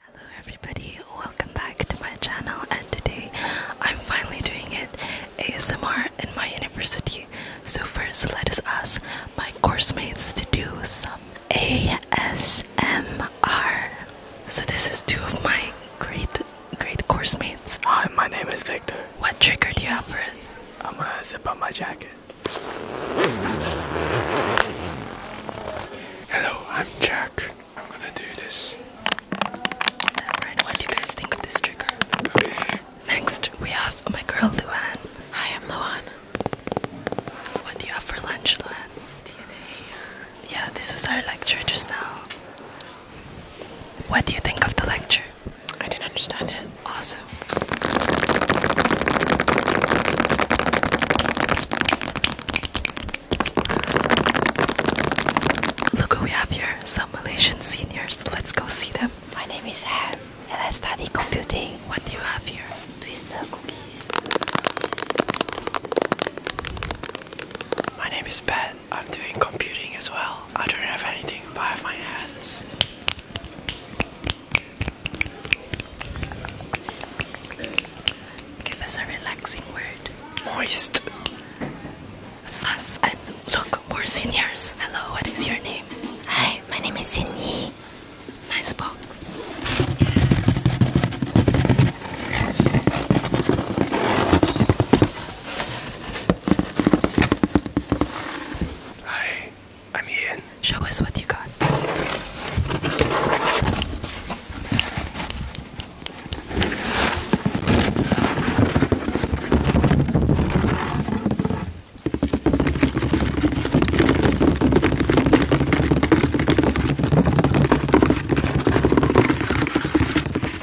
Hello everybody, welcome back to my channel and today I'm finally doing it ASMR in my university. So first let us ask my course mates to do some ASMR. So this is two of my great great course mates. Hi, my name is Victor. What trigger do you have for us? I'm gonna zip up my jacket. Hello, I'm Jack. I'm gonna do this. what do you guys think of this trigger? Next, we have my girl Luan. Hi, I'm Luan. What do you have for lunch, Luan? DNA. Yeah, this was our lecture just now. What do you think of the lecture? I didn't understand it. Awesome. Look who we have here, some Malaysian seniors. Let's go see them. My name is Ham and I study computing. What do you have here? Twister cookies. My name is Ben. I'm doing computing as well. I don't have anything but my hands. Give us a relaxing word. Moist. Sus and look, we seniors. Hello, what is your name? Hi, my name is Sinyi. Nice box. Hi, I'm Ian. Show us what you got.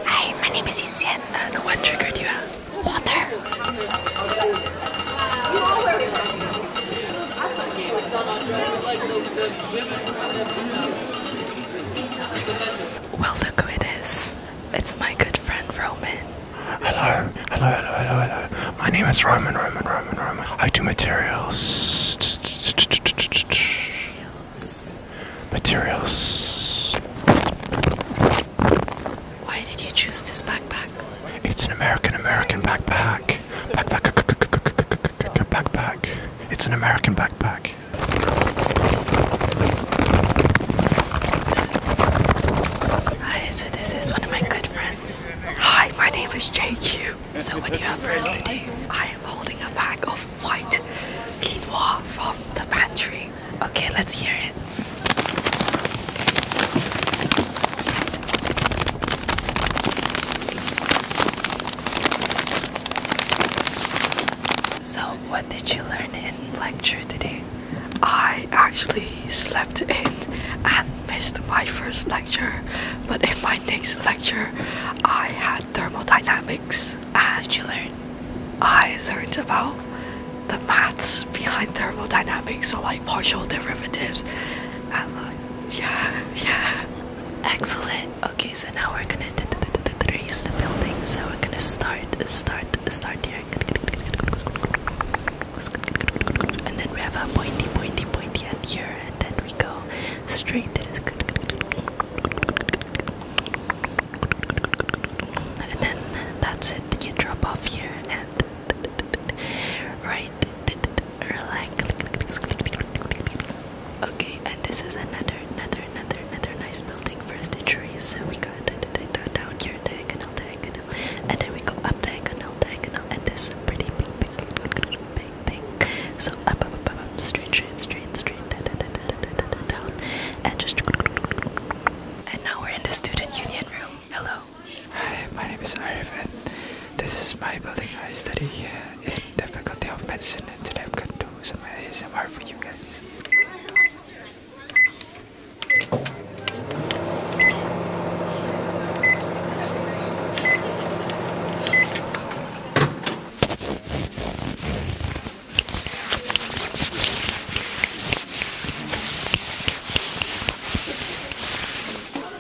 Hi, my name is Yin Xian. what trigger you have? Water. Well, look who it is. It's my good friend Roman. Hello, hello, hello, hello, My name is Roman, Roman, Roman, Roman. I do Materials. Materials. Why did you choose this backpack? It's an American American backpack. Backpack, backpack. It's an American backpack. Hi, so this is one of my good friends. Hi, my name is JQ. So what do you have for us today? I am holding a bag of white quinoa from the pantry. Okay, let's hear it. So, what did you learn in lecture today? I actually slept in and missed my first lecture, but in my next lecture, I had thermodynamics. And did you learn? I learned about the maths behind thermodynamics, so like partial derivatives, and like yeah, yeah. Excellent. Okay, so now we're gonna trace the building. So we're gonna start, start, start here. And then we have a pointy, pointy, pointy end here, and then we go straight to this. And then that's it. You drop off here and right, right, like. Okay, and this is another, another, another, another nice building for stitcheries. So we got down here, diagonal, diagonal, and then we go up diagonal, diagonal, and this pretty big, big, big, big thing. So up, up, up, up, up, straight, straight, straight, straight, da, da, da, da, da, da, da, down, and just. And now we're in the student union room. Hello. Hi, my name is Arif, and this is my building. I study here in the Faculty of Medicine today I'm gonna do some ASMR for you guys.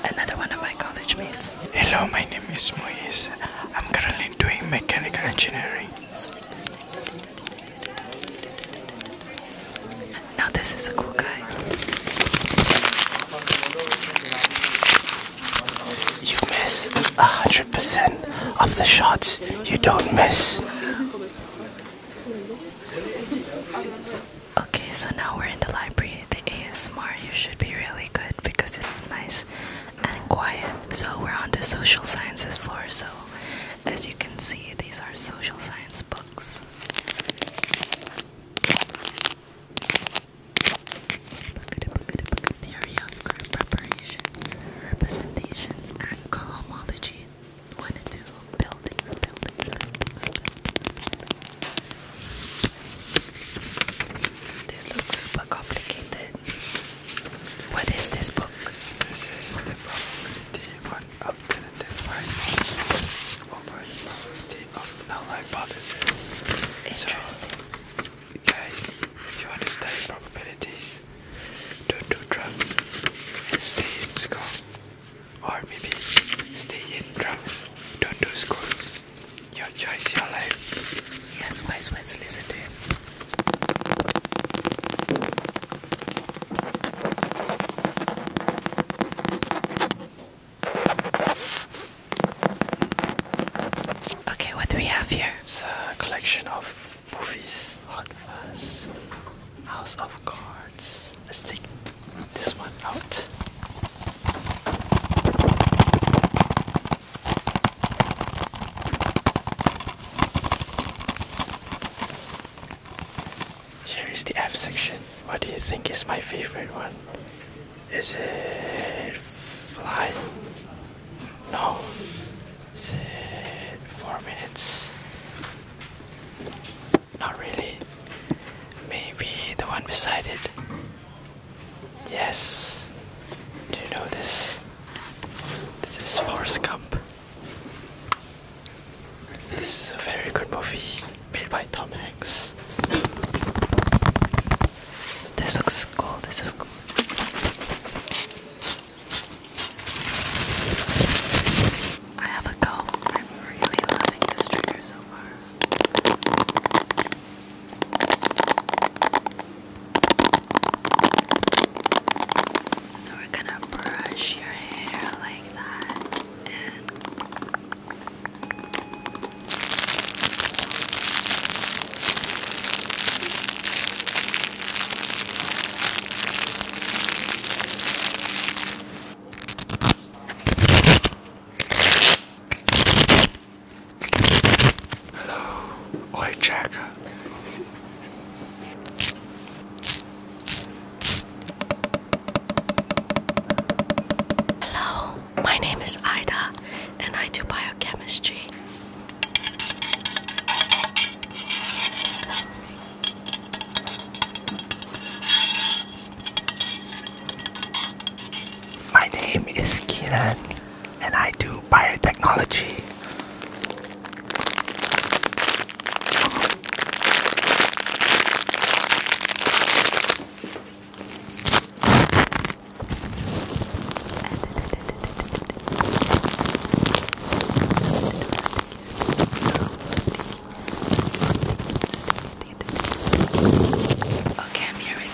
Another one of my college mates. Hello, my Miss is I'm currently doing mechanical engineering. Now, this is a cool guy. You miss 100% of the shots you don't miss. Okay, so now we're in the library. The ASMR, you should be really good because it's nice and quiet. So we're on the social sciences floor. So as you can see, these are social science books. Theory of group preparations, representations, and cohomology. One two buildings, buildings. This looks super complicated. What is this book? This is the probability one alternative hypothesis over the probability of null hypothesis. Interesting. guys, if you want to study probabilities, don't do drugs stay in school. Or maybe stay in drugs, don't do school. Your choice, your life. Yes, wise words, listen Okay, what do we have here? It's a collection of movies, Hot Fuzz, House of Cards. Let's take this one out. Here is the F section. What do you think is my favorite one? Is it fly? No. Is it four minutes? Not really. Maybe the one beside it. Yes. Do you know this? This is Forrest Gump. This is a very good movie made by Tom Hanks. This looks cool. This looks cool. I have a comb. I'm really loving this trigger so far we're gonna brush your hair like that Hello. Oi, Jack. Hello. My name is Ida, and I do biochemistry. My name is Keenan and I do biotechnology. Okay, I'm here with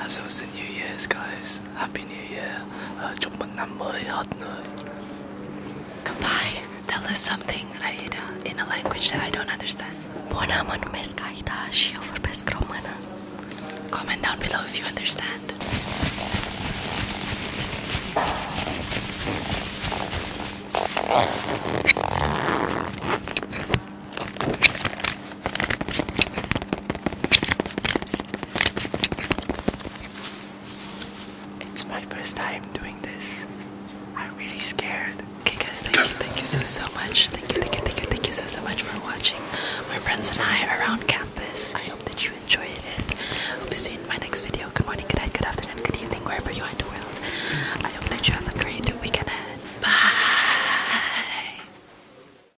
as it was the New Year's, guys, Happy New Year, uh, chúc mừng năm mới hết người. Goodbye. Tell us something, in a language that I don't understand. Bona mânumesc Aida și eu vorbesc română. Comment down below if you understand. It's my first time doing this. I'm really scared. Okay guys, thank you, thank you so so much. Thank you, thank you, thank you, thank you so so much for watching. My friends and I around campus. I hope that you enjoyed it. Hope to see you in my next video. Good morning, good night, good afternoon, good evening, wherever you are in the world. I hope that you have a great weekend Bye!